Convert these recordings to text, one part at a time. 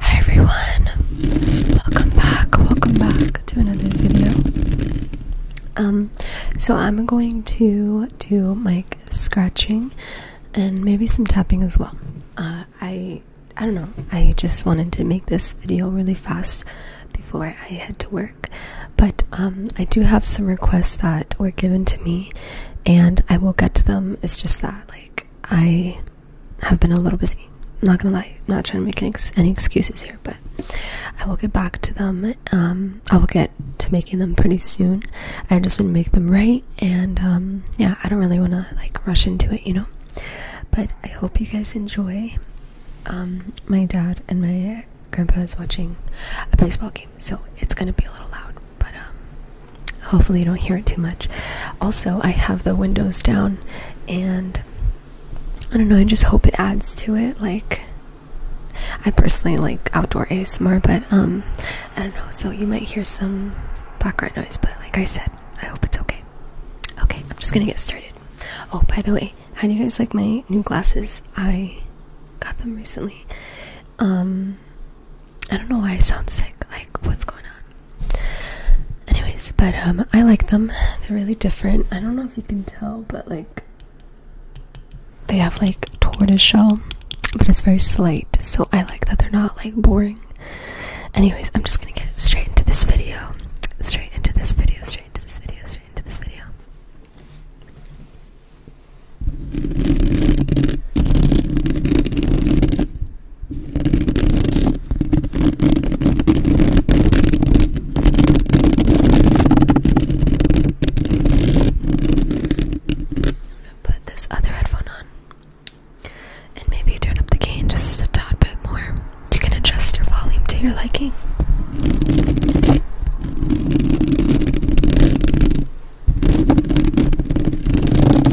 Hi everyone, welcome back, welcome back to another video. Um, so I'm going to do mic scratching and maybe some tapping as well. Uh, I I don't know. I just wanted to make this video really fast before I head to work. But um, I do have some requests that were given to me, and I will get to them. It's just that like I have been a little busy. Not gonna lie, I'm not trying to make any, excuses here, but I will get back to them. Um, I will get to making them pretty soon. I just didn't make them right, and um, yeah, I don't really want to like rush into it, you know. But I hope you guys enjoy. Um, my dad and my grandpa is watching a baseball game, so it's gonna be a little loud. But Hopefully, you don't hear it too much. Also, I have the windows down, and I don't know, I just hope it adds to it. Like, I personally like outdoor ASMR, but um, I don't know, so you might hear some background noise, but like I said, I hope it's okay. Okay, I'm just gonna get started. Oh, by the way, how do you guys like my new glasses? I got them recently. Um, I don't know why I sound sick. Like, what's going on? Anyways, but um, I like them. They're really different. I don't know if you can tell, but like they have like tortoise shell, but it's very slight. So I like that they're not like boring. Anyways, I'm just gonna get straight into this video. Straight into this video. Straight into this video. Straight into this video. I'm gonna put this other headphone on. And maybe turn up the gain just a tad bit more. You can adjust your volume to your liking.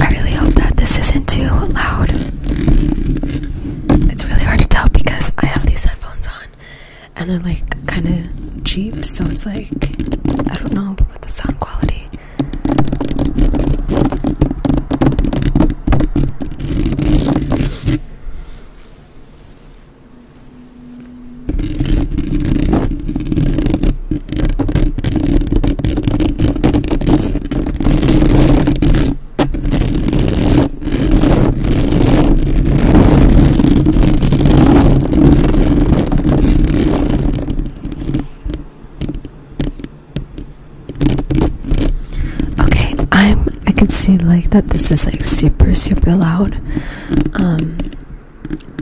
I really hope that this isn't too loud it's really hard to tell because I have these headphones on and they're like kind of cheap, so it's like I don't know about the sound quality. Okay, I'm I can see like that this is like super super loud. Um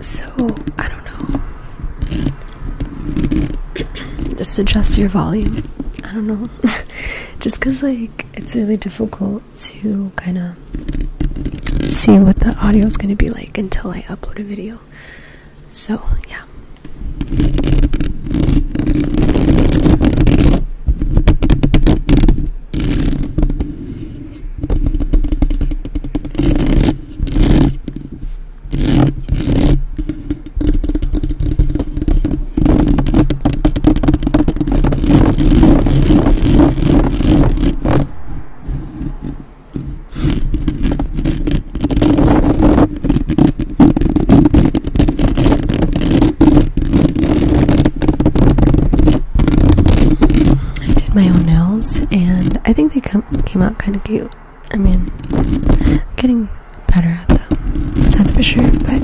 so I don't know. Just adjust your volume. I don't know well. Just because, like, it's really difficult to kind of see what the audio is going to be like until I upload a video. So, yeah. I did my own nails and I think they came out kind of cute. I mean, getting better at them, that's for sure, but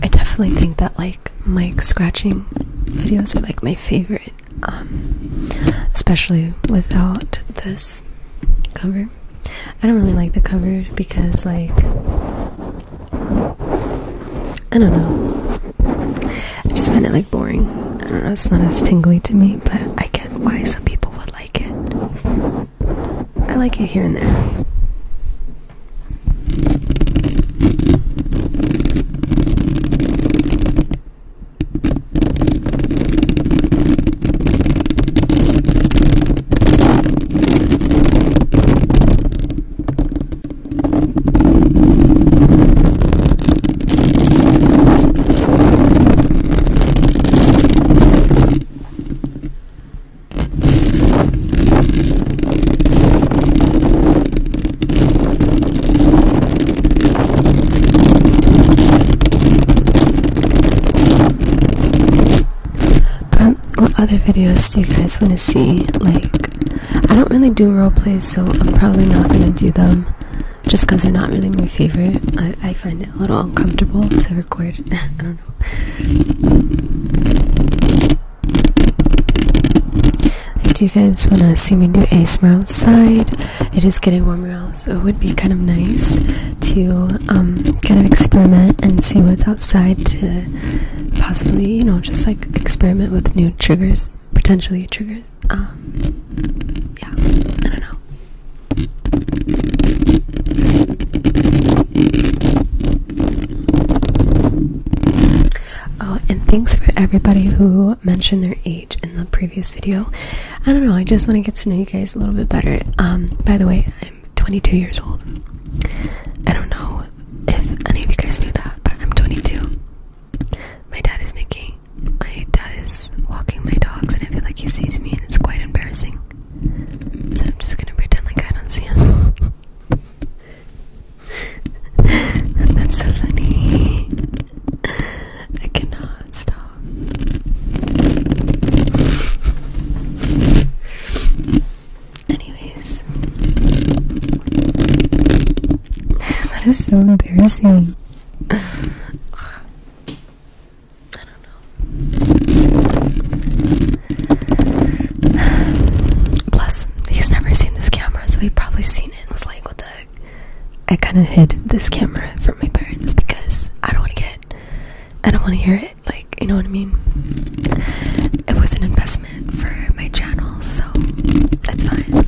I definitely think that like mic scratching videos are like my favorite, um, especially without this cover. I don't really like the cover because like I don't know. I just find it like boring. I don't know, it's not as tingly to me, but I get why some people would like it. I like it here and there. Um, what other videos do you guys want to see? Like, I don't really do role plays, so I'm probably not gonna do them just because they're not really my favorite. I, find it a little uncomfortable to record. I don't know. Do you guys want to see me do ASMR outside. It is getting warmer out, so it would be kind of nice to um, kind of experiment and see what's outside to possibly, you know, just like experiment with new triggers, potentially triggers. Um, yeah, I don't know. Oh, and thanks for everybody who mentioned their age in the previous video. I don't know, I just want to get to know you guys a little bit better. Um, by the way, I'm 22 years old. I don't know if any of you guys knew that, but I'm 22. My dad is making my dad is walking my dogs and I feel like he sees me and it's quite embarrassing. So I'm just gonna pretend like I don't see him. That's so funny. I cannot stop. Anyways, that is so embarrassing. I don't know. Plus, he's never seen this camera, so he probably seen it and was like, what the I kind of hid this camera from my parents because I don't want to get, I don't want to hear it. Like, you know what I mean? It was an investment for my channel, so that's fine.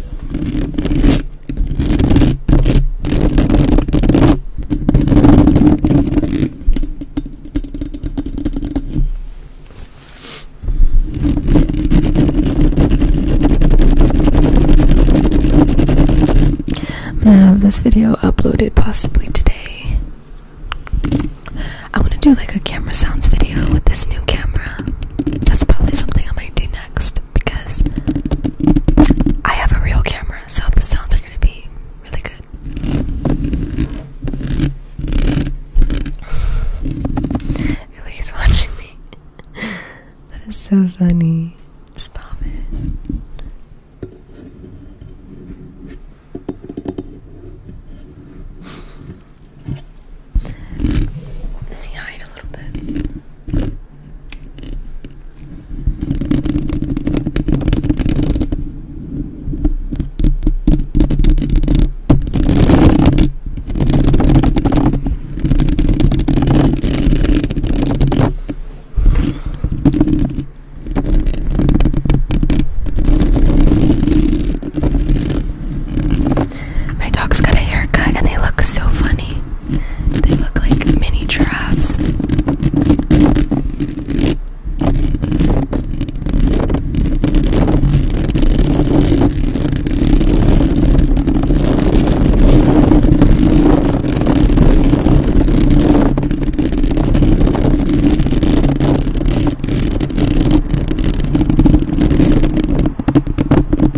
I'm gonna have this video uploaded possibly today. I want to do like a camera sounds video with this new camera. That's probably something I might do next because I have a real camera, so the sounds are gonna be really good. I feel like he's watching me. that is so funny. Stop it. Let me hide a little bit. My dog's got a haircut and they look so funny. They look like mini giraffes.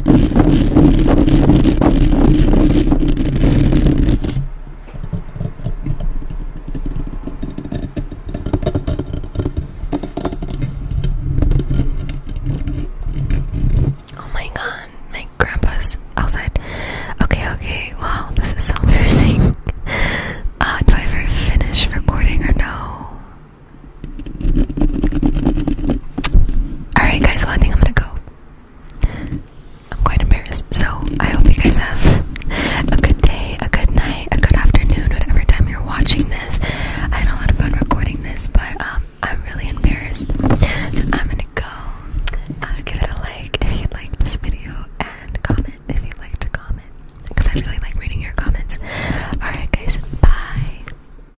Oh my god, my grandpa's outside. Okay, okay, wow, this is so embarrassing. Uh, do I ever finish recording or no? Alright, guys, well, I think I'm gonna go. I'm quite embarrassed. So, I hope you guys have a good day, a good night, a good afternoon, whatever time you're watching this. I had a lot of fun recording this, but um, I'm really embarrassed. So, I'm gonna go. Uh, give it a like if you liked this video, and comment if you'd like to comment because I really like reading your comments. Alright, guys, bye.